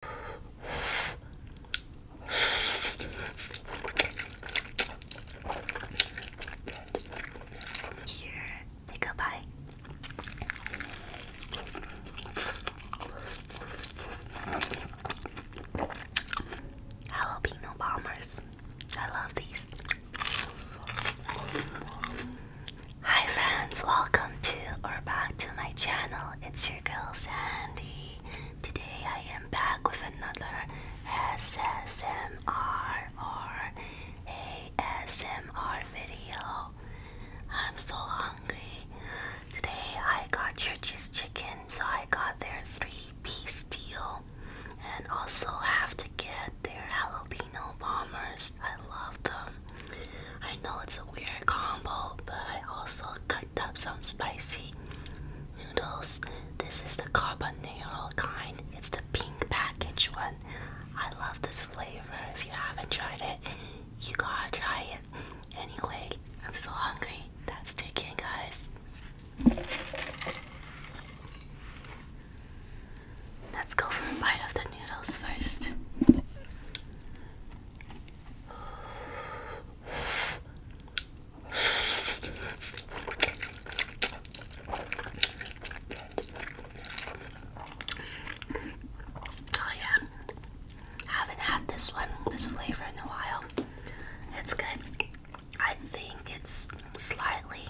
Here, take a bite. Jalapeno bombers. I love these. Hi friends, welcome to or back to my channel. It's your girl Sandy. Today I am back with another SSMR or ASMR video. I'm so hungry. Today I got Church's chicken, so I got their three piece deal and also have to get their jalapeno bombers. I love them. I know it's a weird combo, but I also cut up some spicy noodles. This is the carbonero kind. It's the pink package one. I love this flavor. If you haven't tried it, you gotta try it. Anyway, I'm so hungry. That's taking, guys. Let's go for a bite of the noodles first. Oh yeah, haven't had this one, this flavor in a while. It's good. I think it's slightly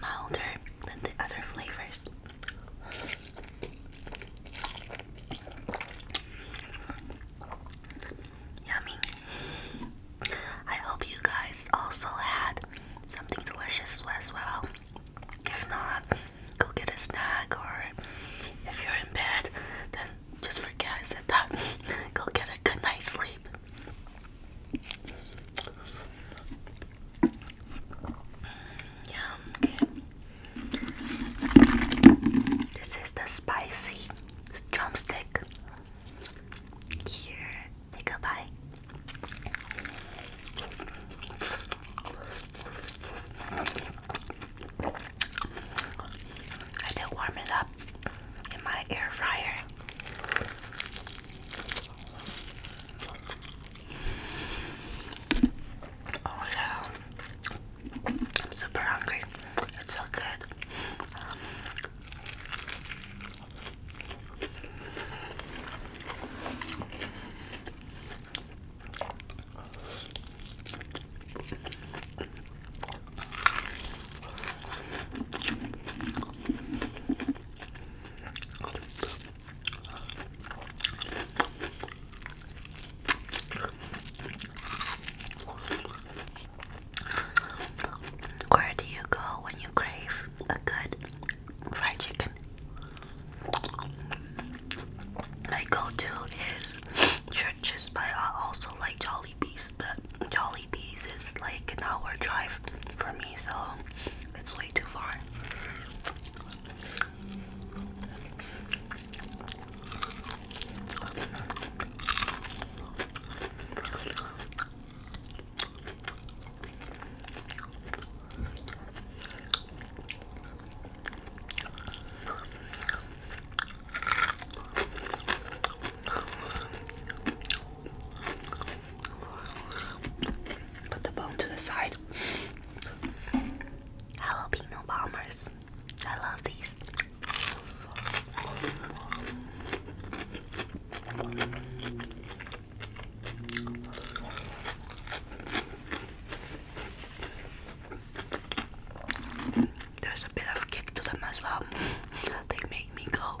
milder than the other flavors. Yummy. I hope you guys also had something delicious as well. If not, go get a snack, or if you're in bed, then just forget I that. go get a good night's sleep. Yeah, this is the spicy drumstick. Here, take a bite. I did warm it up in my air fryer. Oh yeah. I'm super hungry. It's so good. Where do you go when you crave a good fried chicken? My go-to is churches, but I also like Jollibees. But Jollibees is like an hour drive for me, so it's way too far. Put the bone to the side good. bombers. I love these. There's a bit of kick to them as well. They make me go.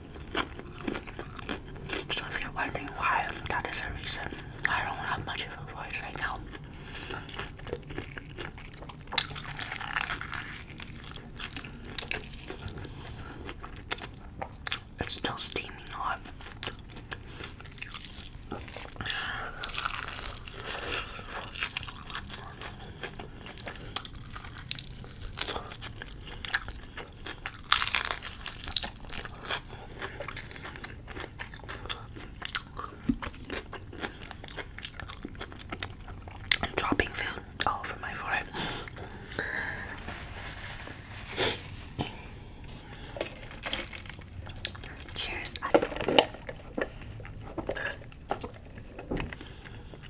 So if you're wondering why, that is the reason. I don't have much of a voice right now. It's still steaming hot. I'm dropping food all over my forehead. Cheers.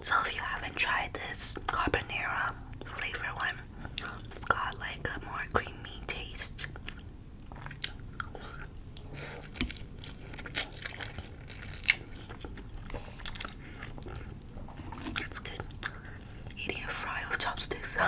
So if you haven't tried this carbonara flavor one, it's got like a more creamy taste. It's good. Eating a fry of chopsticks.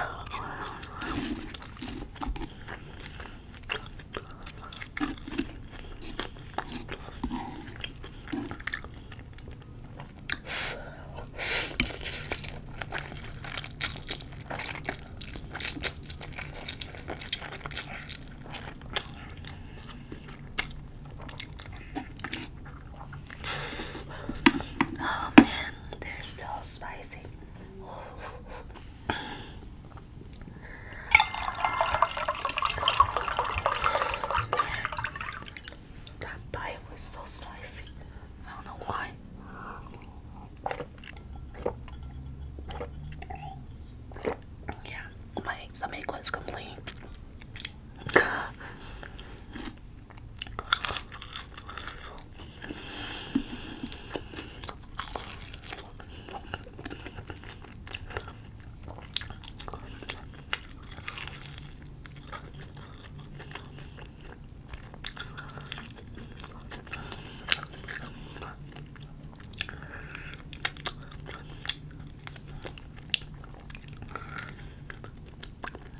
Oh man, they're still spicy. That pie was so spicy. I don't know why. Yeah, my stomach was complete.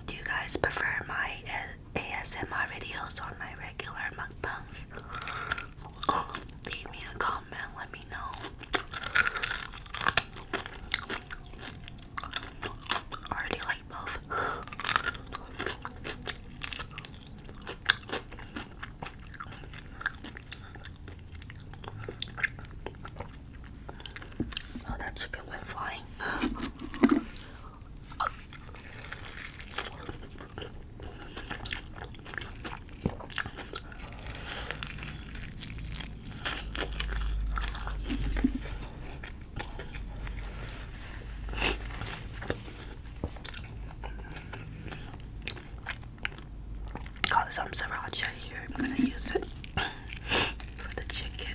Do you guys prefer my ASMR videos or my regular mukbangs? leave me a comment, let me know. Or do like both? Oh, that chicken went flying. Got some sriracha here. I'm gonna use it for the chicken.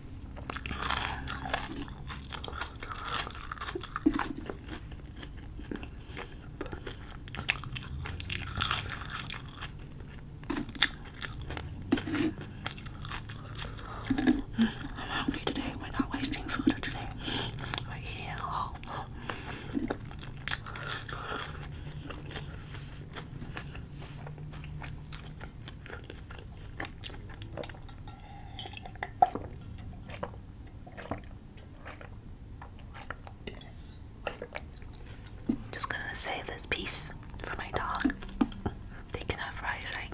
I'm hungry today. We're not wasting food today. We're eating it all. Just gonna save this piece for my dog. They can have fries, right?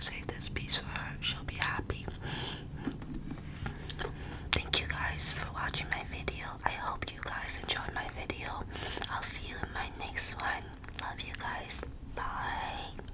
Save this piece for her, she'll be happy. Thank you guys for watching my video. I hope you guys enjoyed my video. I'll see you in my next one. Love you guys. Bye.